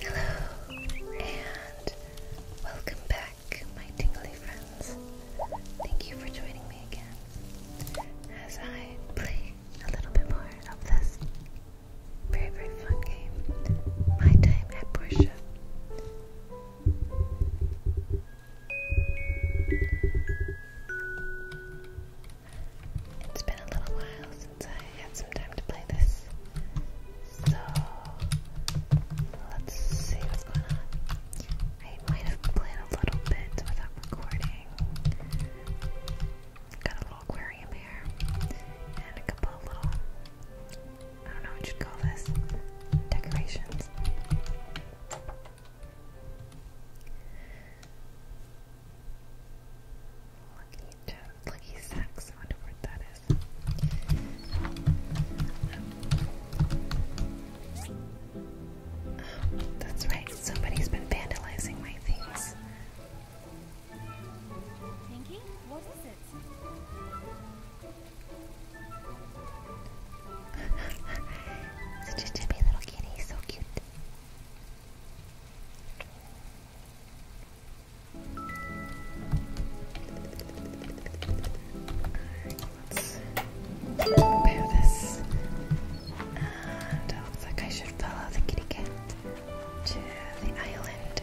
Hello, and welcome back, my tingly friends. Thank you for joining me again as I play a little bit more of this very, very fun game, My Time at Portia. It's been a little while since I had some time to play this, so let's see what's going on. I might have played a little bit without recording. Got a little aquarium here, and a couple of little, I don't know what you'd call this, decorations. Lucky Toad, Lucky Sacks, I wonder what that is. that's right, somebody's been vandalizing my things. Pinky, what is it? Such a chubby little kitty, so cute. Alright, let's prepare this. And looks like I should follow the kitty cat to the island.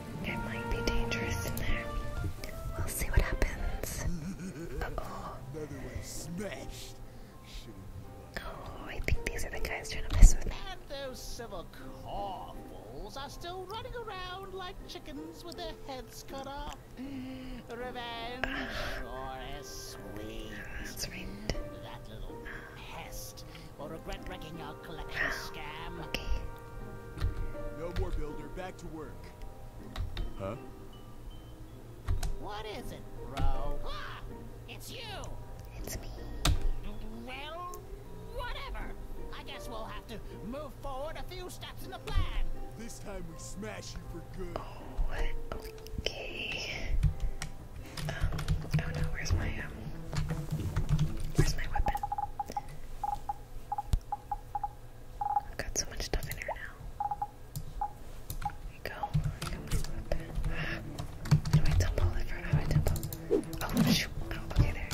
It might be dangerous in there. We'll see what happens. oh Oh, I think these are the guys trying to mess with me. those civil corvals are still running around like chickens with their heads cut off. Revenge or a sweet. That little pest will regret wrecking our collection scam. No more builder, back to work. Huh? What is it, bro? Ah, it's you. It's me. Well, whatever. I guess we'll have to move forward a few steps in the plan. This time we smash you for good. Oh, okay. Um, oh no, where's my, um, where's my weapon? I've got so much stuff in here now. There you go. do I tumble? I forgot how I tumble. Oh, shoot. okay, there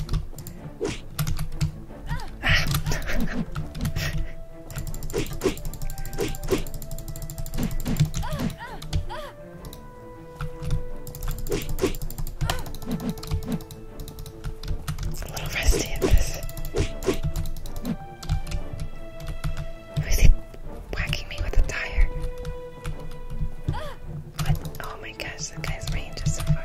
a little rusty in this. Who's he whacking me with a tire? What? Oh my gosh, that guy's range is so far.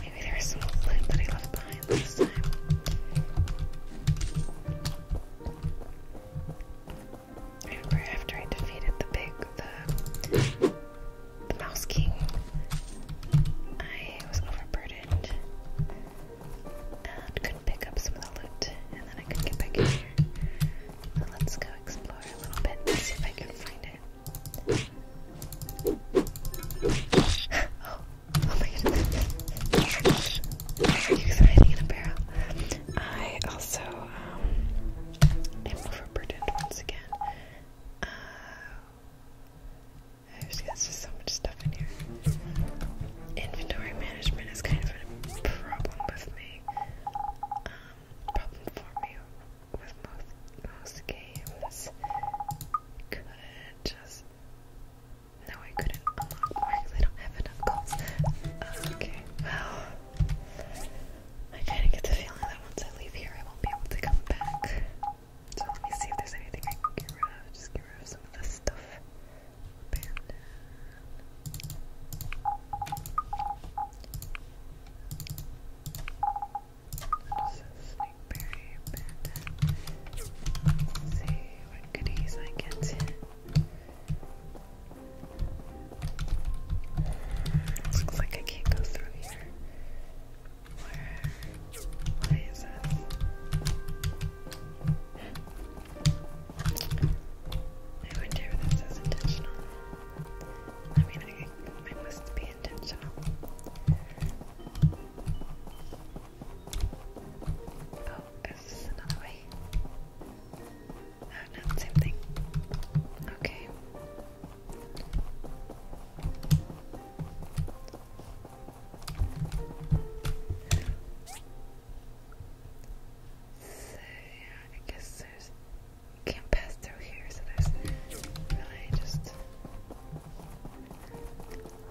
Maybe there's some loot that I left behind this time. remember after I defeated the big, the, the Mouse King, I was overburdened and couldn't pick up some of the loot, and then I couldn't get back in here. So let's go explore a little bit and see if I can find it. oh, Oh my goodness. Exciting in a barrel. I also um, am overburdened once again. there's just so much stuff in here. Inventory management is kind of a problem with me. Um, problem for me with most, most games. Could no, I couldn't I don't have enough calls. Oh, okay, well, I kind of get the feeling that once I leave here, I won't be able to come back. So let me see if there's anything I can get rid of. Just get rid of some of this stuff. Let's see what goodies I get. Looks like I can't go through here. Where? Why is this? I wonder if this is intentional. I mean, I must be intentional. Oh, is another way? Oh no, same thing. Okay. So yeah, I guess there's you can't pass through here, so there's really just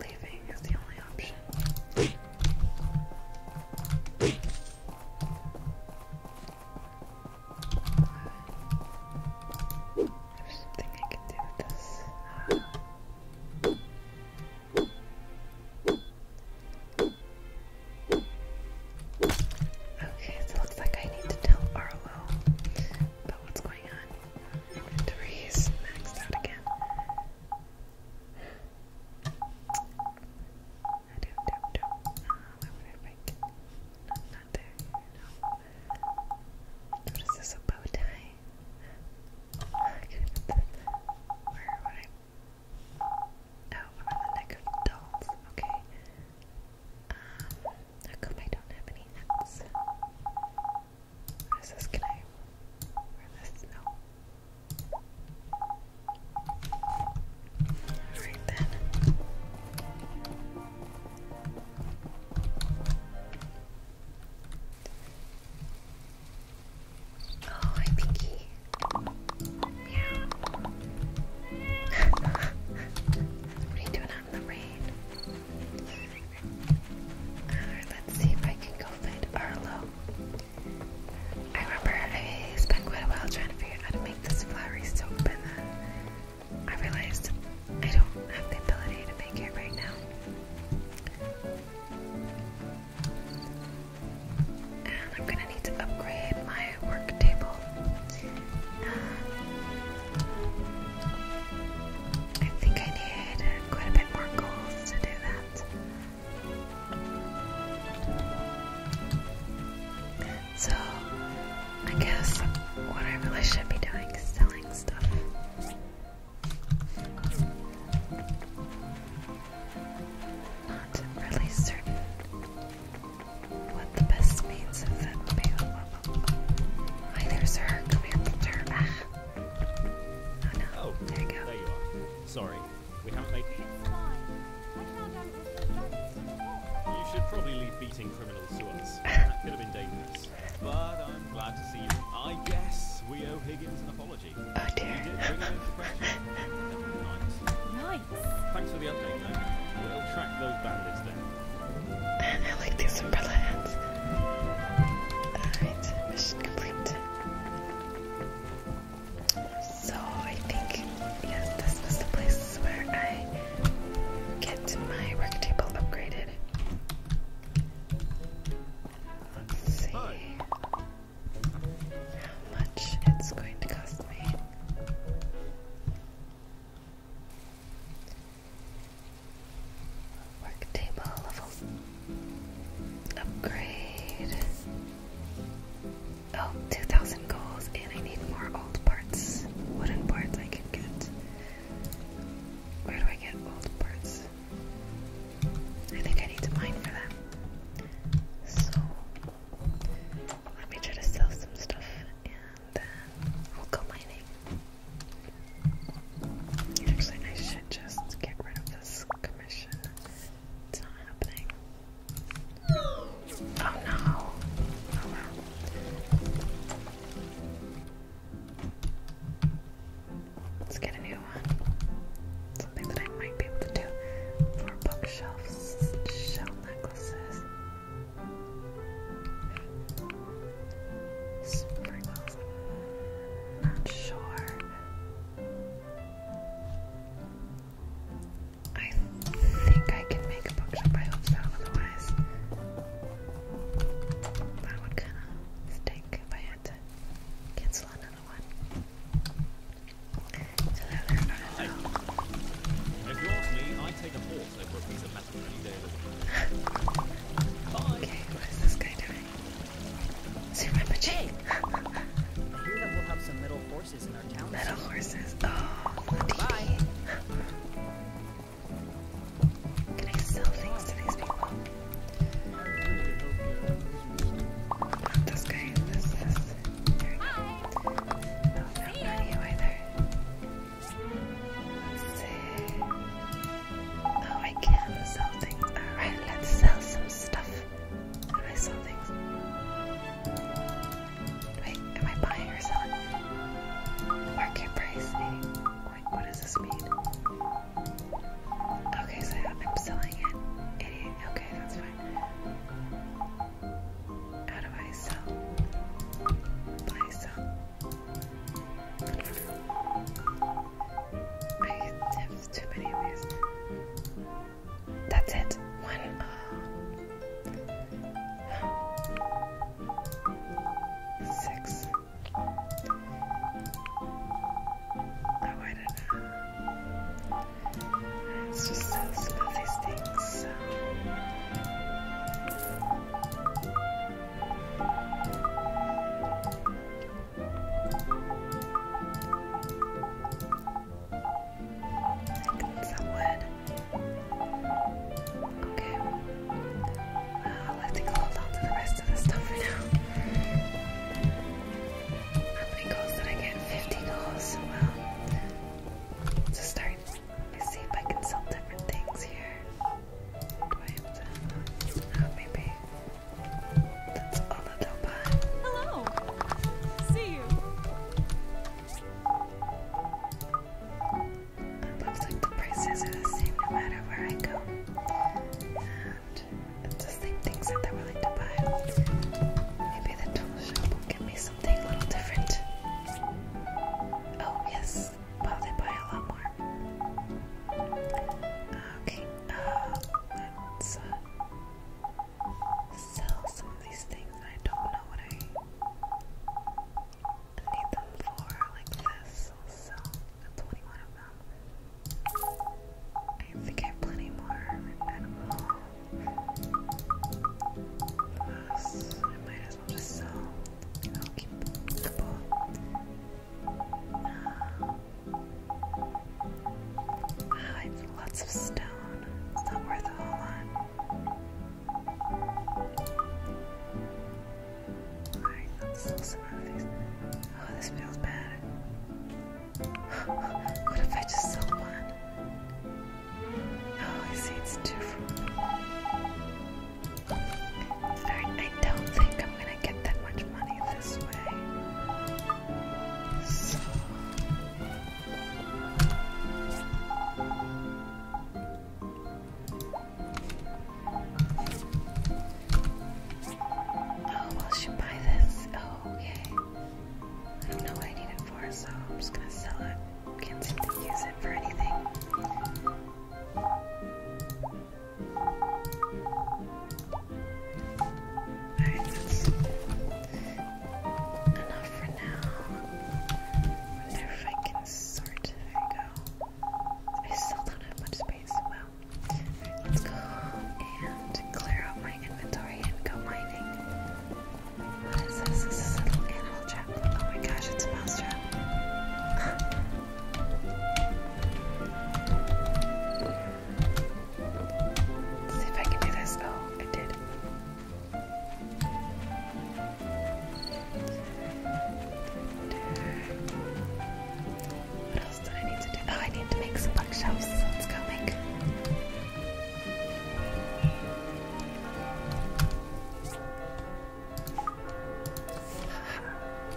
Leaving is the only option. There's something I can do with this. Okay, so it looks like I need to tell Arlo about what's going on. Three's maxed out again. do do don't. would oh, I break? No, not there. No. What is this? A bow tie? I could put Where would I? Oh, around the neck of dolls. Okay. Um, how come I do have any hats? Alright then. Oh, hi Pinky. what are you doing out in the rain? let's see if I can go find Arlo. I remember I spent quite a while trying to figure out how to make this flowery soap, and then I realized I don't have the ability to make it right now. And I'm gonna need to upgrade my work table. I think I need quite a bit more goals to do that. So, I guess what I really should be doing is selling stuff. Not really certain what the best means of that would be. Hi there, sir. Come here, Peter. Oh, oh there you are. Sorry, we haven't made. It's fine. I You should probably leave beating criminals to us. that could have been dangerous. But I'm glad to see you. I guess we owe Higgins an apology. Oh dear. nice. Thanks for the update, though. We'll track those bandits then. I like these umbrella hats. Alright, mission complete. So I think yes, this was the place where I get my work upgraded. Let's see how much it's going to cost me. Work level upgrade. 2,000 goals, and I need more old parts. Wooden parts I can get. Where do I get old parts? I think I need to mine for them. So, let me try to sell some stuff and then we'll go mining. Actually, I should just get rid of this commission. It's not happening. Oh no! Oh, Let's get a new one. Something that I might be able to do. Four bookshelves, shell necklaces sprinkles. Not sure. I think I can make a bookshop. I hope so. Otherwise, that would kind of stink if I cancel another one. Hello okay, what is this guy doing? Siremachi. I hear that we metal horses Oh, Bye. Can I sell things to these people? this guy. This, this. There we go. Oh, no, not either. Oh, I can sell things. Alright, let's sell some stuff. How I sell things? Wait, am I buying or selling? Market price. Wait, eh? what does this mean? Okay, so I'm selling it. Okay, that's fine. How do I sell? Buy, sell. I have too many of these. That's it. One. Uh, six. Oh, I do It's just so some these things. I got some wood. Okay. Uh, I think hold on to the rest of the for now. How many goals did I get? 50 goals. Well, to start, let me see if I can sell different things here. I have to maybe? That's all a little bit. Hello! See you! It looks like the prices are the same no matter where I go. And the same things that they're willing to buy. Maybe the tool shop will give me something a little different. Oh yes, well they buy a lot more. Okay, uh, let's uh, sell some of these things. I don't know what I need them for, like this. I'll sell 21 of them. I think I have plenty more. I I might as well just sell. I'll keep the ball. Oh, it's lots of stone. It's not worth a whole lot. Alright, let's still some other things. Oh, this feels bad. what if I just sold one? Oh, I see it's two Alright, I don't think I'm gonna get that much money this way. Oh, will she buy this? Oh, okay. I don't know what I need it for, so I'm just gonna sell it. Can't seem to use it for anything. Alright, that's enough for now. wonder if I can sort. There we go. I still don't have much space. Well, let's go and clear out my inventory and go mining. What is this? This is a little animal trap. Oh my gosh, it's a mouse trap. see if I can do this. Oh, I did. What else do I need to do? Oh, I need to make some bookshelves. Let's go make.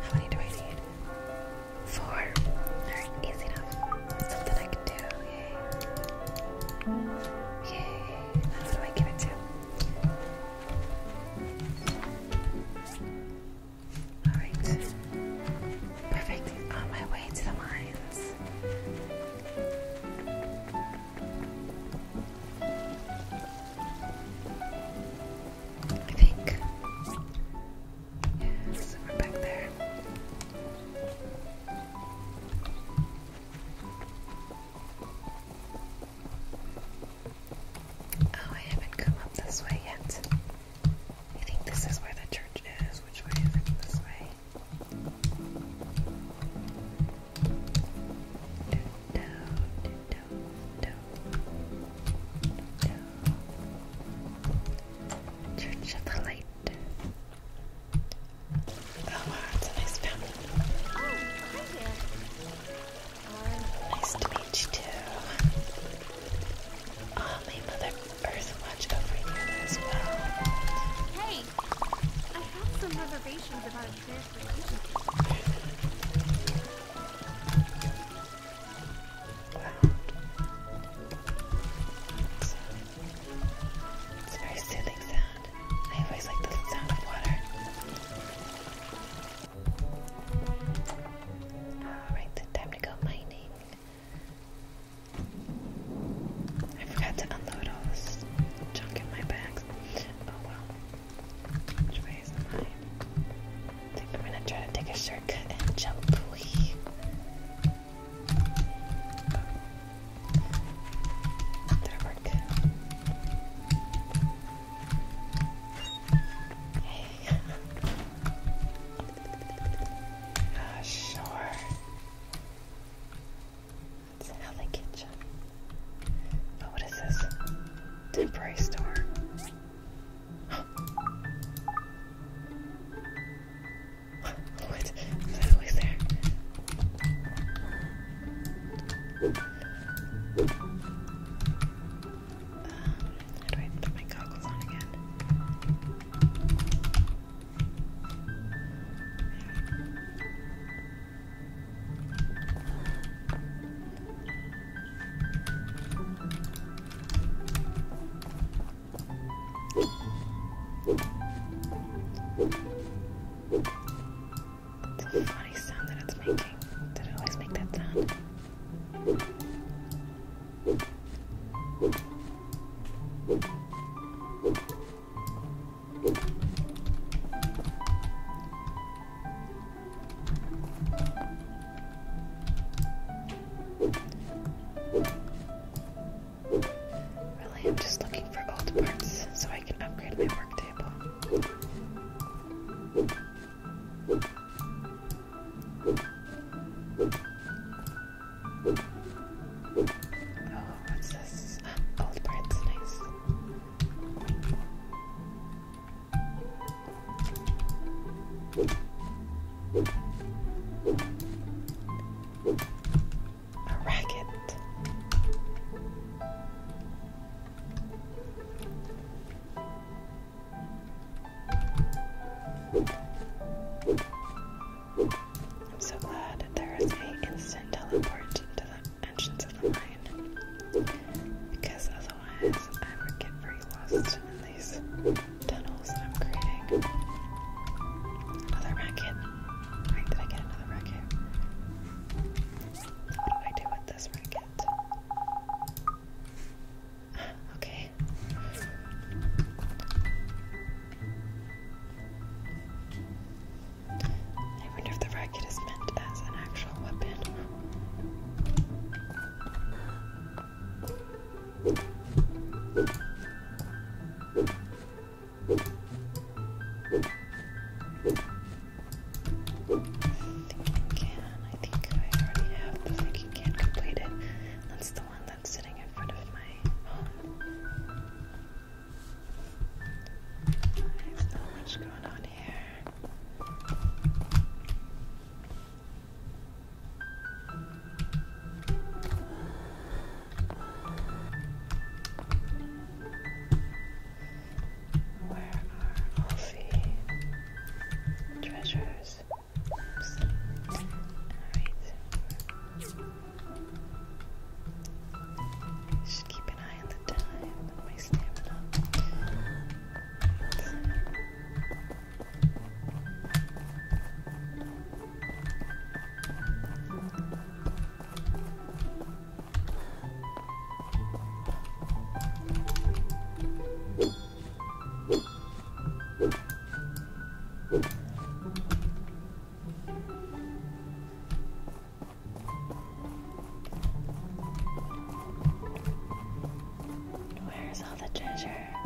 How many do I need? Four. Alright, easy enough. something I can do. Yay. That's what I give it to. Alright. Perfect. On my way to the mines. I think Yes, we're back there. Oh, I haven't come up this way yet. I think this is where the church is. Which way is This way. Church of the Light. Oh it's a nice fountain. nice to meet you too. Oh, my Mother Earth watch over you as well. Hey, I have some reservations about a prayer for you. It's, it's a very soothing sound. I always like the sound of water. Alright, time to go mining. I forgot to unload all this junk in my bags. Oh well. I think I'm gonna try to take a shortcut and jump. Please. that Hey. Ah, sure. That's how they get you. what is this? Temporary store. What? What? There's there. Um, do I put my goggles on again? It's a funny sound that it's making. Did it always make that sound? Really, I'm just looking for old parts so I can upgrade my work table. Oh, what's this? Old parts, nice. A racket. I'm so glad there is a instant teleport to the entrance of the mine. Because otherwise I would get very lost in these. Another racket. did I get another racket? What do I do with this racket? okay. I wonder if the racket is meant as an actual weapon. Thinking can. I think I already have the thinking can completed. That's the one that's sitting in front of my home. There's not much going on here. Where are all the treasures? All right. Just keep an eye on the time my stamina. Where's all the treasure?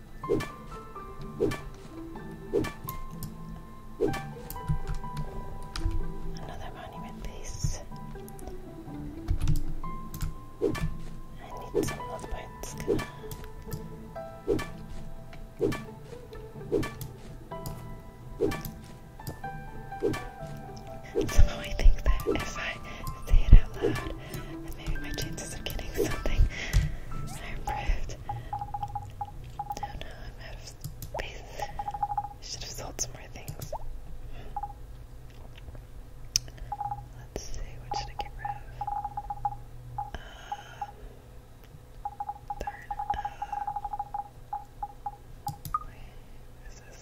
Another monument base. I need some love bites. Somehow I think that if I say it out loud, then maybe my chances of getting something are improved. No, no, I'm out of space. should have sold some more things. Let's see, what should I get rid of? Um, wait, what is this?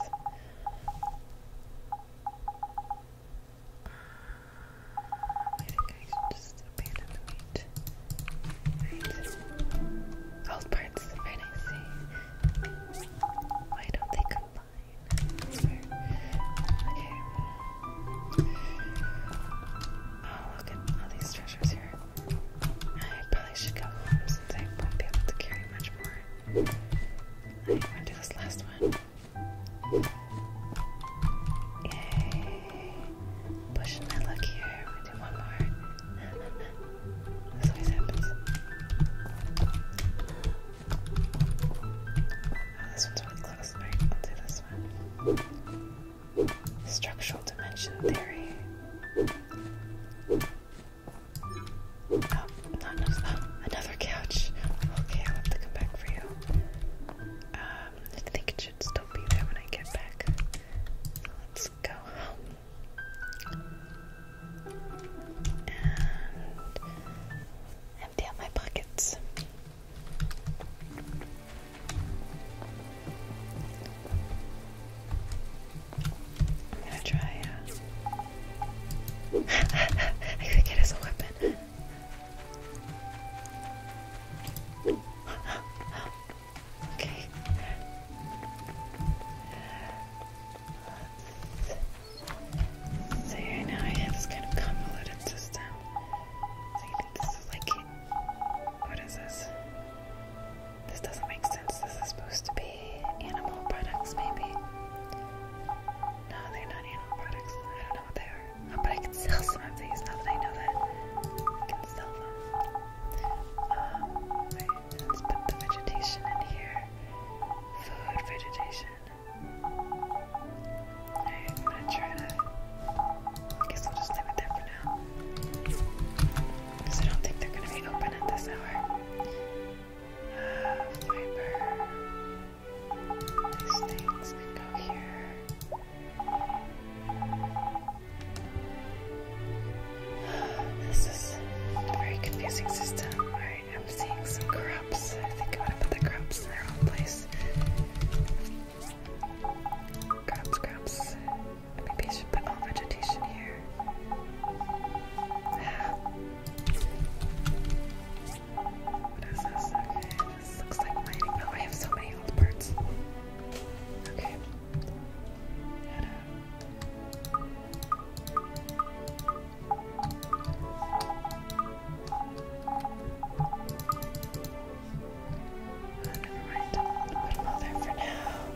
All parts I Why don't they combine? Okay. Oh, look at all these treasures here. I probably should go home since I won't be able to carry much more. I'm gonna do this last one. Yay. Pushing my luck here. We do one more. this always happens. Oh, this one's really close. Alright, I'll do this one. Structural dimension theory. Oh, not enough. Oh, another couch. Okay, i have to come back for you. Um, I should still be there when I get back. let's go home. And empty out my pockets. I'm gonna try, uh, I could get a weapon okay. Let's see, I have this kind of convoluted system. So this is like, what is this? This doesn't make sense. This is supposed to be animal products, maybe. No, they're not animal products. I don't know what they are but I can sell some of these now that I know that I can sell them. Um, let's put the vegetation in here. Food, vegetation. I'm gonna try to. guess we'll just leave it for now. Because I don't think they're gonna be open at this hour. Uh, fiber. These things can go here. This is a very confusing system. I am seeing some crops. I think I am going to put the crops in their own place. Crops, crops. Maybe I should put all vegetation here. Ah. What is this? looks like I have so many old parts. Okay. never mind. Put them all there for now.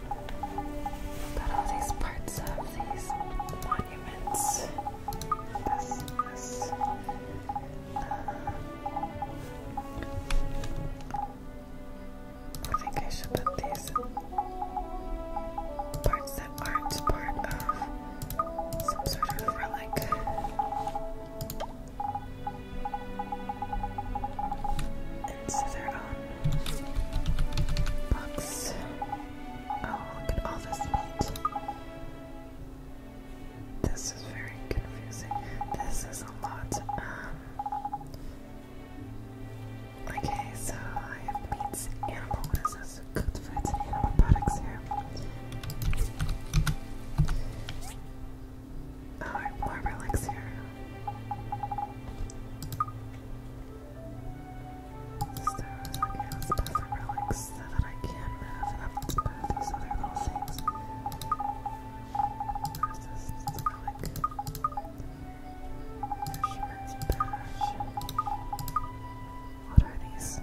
Got all these parts of these monuments. Uh, I think I should put these parts that aren't part of some sort of relic. Into their own box. Oh, look at all this meat. This is very confusing. This is a lot. Um, okay, so I have meats, animal. What is this? Cooked foods animal products here. Oh, more relics here. so I can move up these other little things. This is the like fisherman's patch. What are these?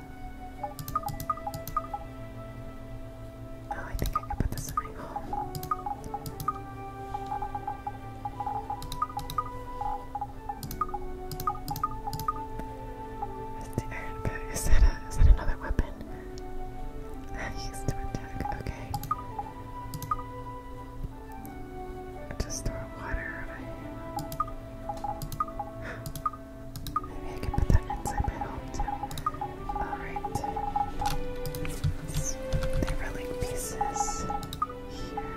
Oh, I think I can put this in my home. Is, the iron is that a, is that another weapon? He's to attack, okay. Just throw water on him. Maybe I can put that inside my home too. Alright. they were like pieces here.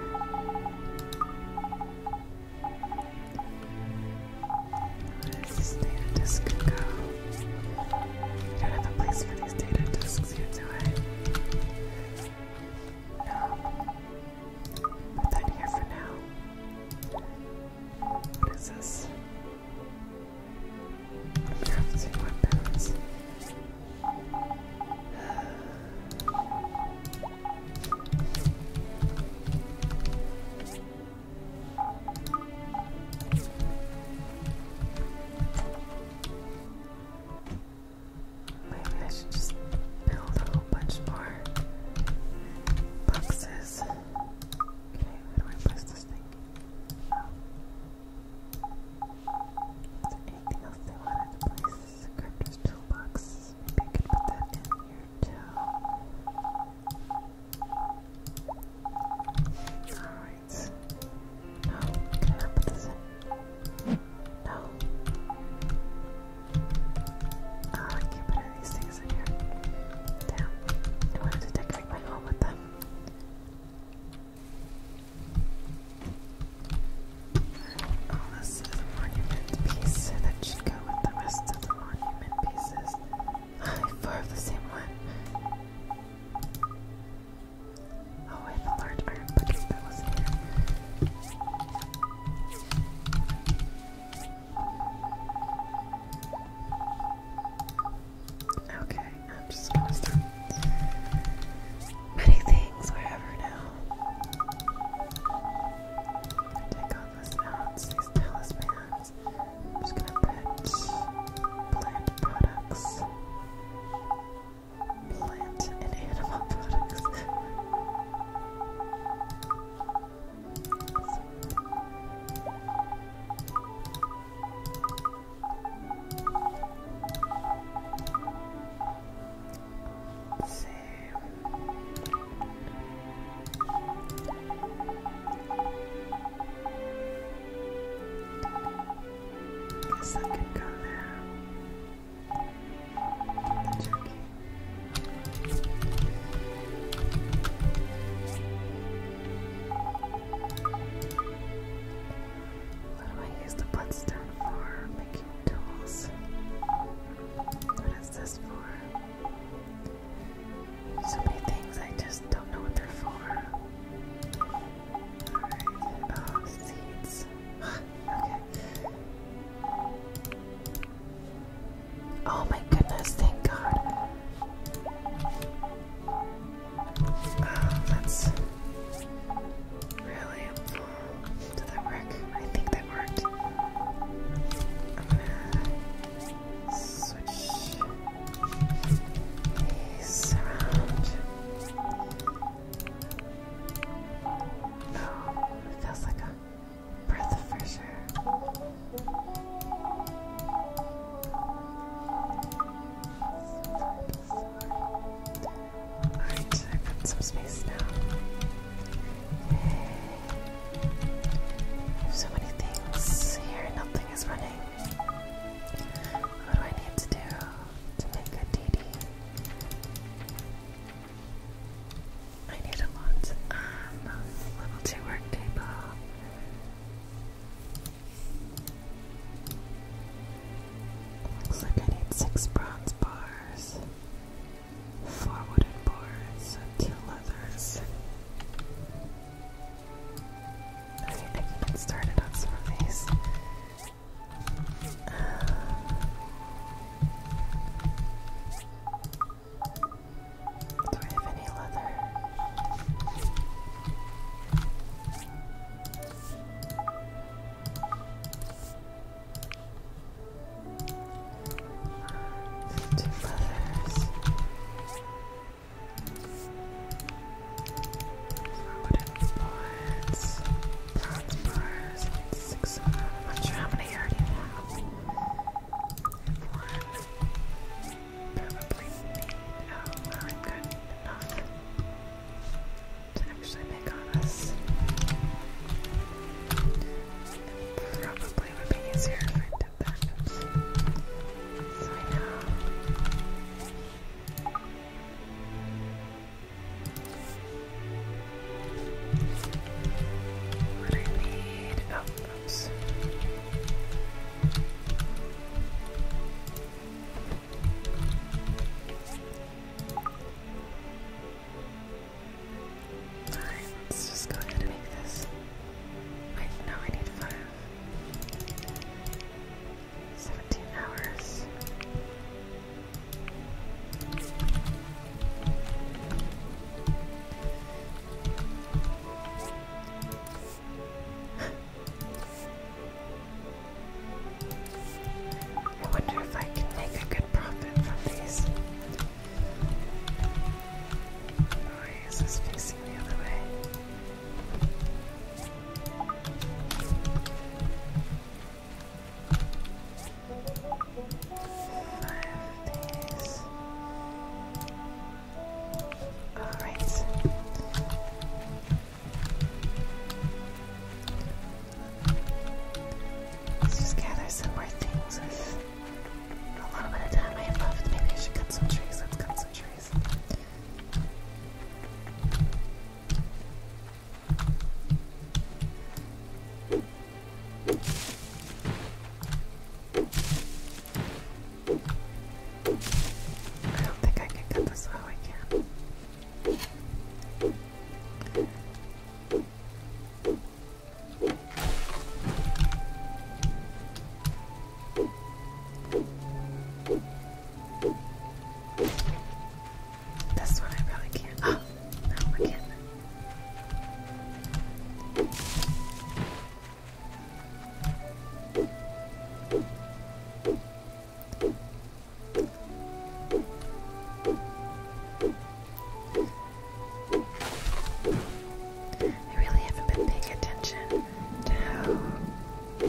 What is this thing? This could go. I don't have a place for these data disks yet, do I? No. Put that here for now. What is this? Crafting weapons. Maybe I should just build a whole bunch more boxes. Okay, where do I place this thing? Is there anything else they wanted to place? Crafter's toolbox. Maybe I could put that in here too cards. No, can I put this in? No. Oh, I can't these things in here. Damn. I wanted to decorate my home with them. Oh, this is monument piece that should go with the rest of the monument pieces. Four of the same one. Oh, I have a large iron bucket that was here. Okay, I'm gonna Take all this out, these talismans just gonna plant products, plant and animal products. let Guess I can go there. What do I use the bloodstone for? Making tools. What is this for? So many things I just don't know what they're for. Oh my goodness, thank God. Uh, that's really Did that work? I think that worked. I'm gonna switch. He's around. Oh, it feels like a breath of fresh air. Alright, I've some space now. Hey. so many things here, nothing is running. What do I need to do to make a DD? I need a lot. Um, level 2 work table. Looks like I need 6 bronze bars, 4 wooden boards, 2 leathers. I think can get started on some of these. Um, do I have any leather? Two leathers. Wooden boards, how many one. Probably Oh, I'm good enough to actually make us. probably would be easier if I did that. Oops. So I know. What I need. Oh, Alright, let's just go ahead and make this. Wait, no, I need five. 17 hours. I wonder if I can make a good profit from these. Oh, is this facing the other way? All right. Let's just gather some more things with a little bit of time I have left. Maybe I should cut some trees. Let's cut some trees guys. I don't think I can cut this how I this one I probably can't. no, I can't. I really haven't been paying attention to how I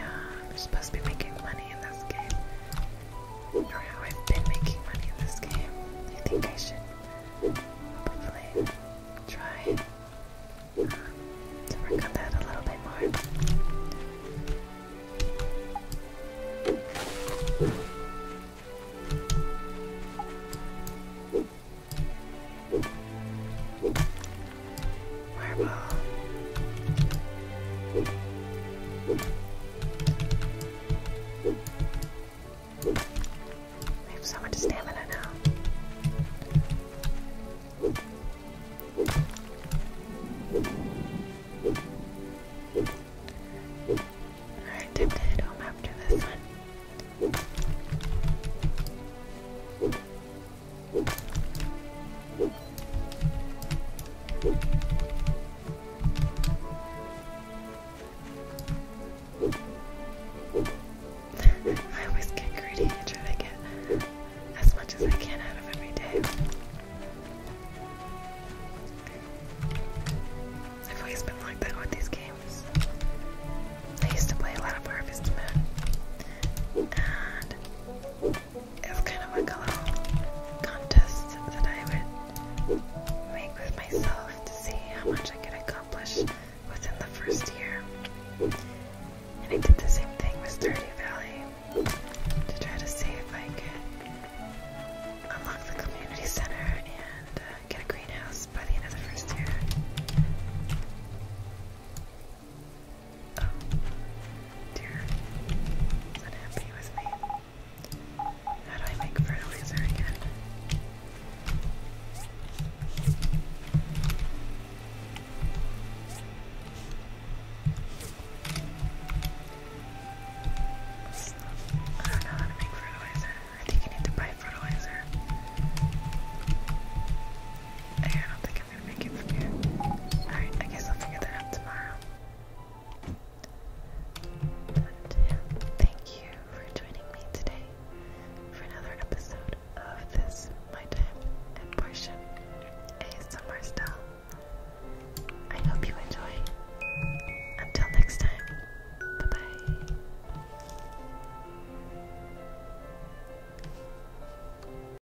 am supposed to be making money in this game, or how I've been making money in this game. I think I should probably try um, to work on that a little bit more. I have so much stamina now. Alright, time to head home after this one. I always get greedy and try to get as much as I can out of every day. I've always been like that with these games. I used to play a lot of Harvest Moon, is kind of like a little contest that I would make with myself to see how much I could accomplish within the first year. And I did the same thing with Sturdy Valley to try to see if I could unlock the community center and uh, get a greenhouse by the end of the first year. Oh, dear. unhappy with me. How do I make fertilizer again? I don't know how to make fertilizer. I think you need to buy fertilizer. I don't think i Alright, I guess I'll figure that out tomorrow. thank you for joining me today for another episode of this My Time and Portion ASMR style. I hope you enjoy. Until next time, bye bye.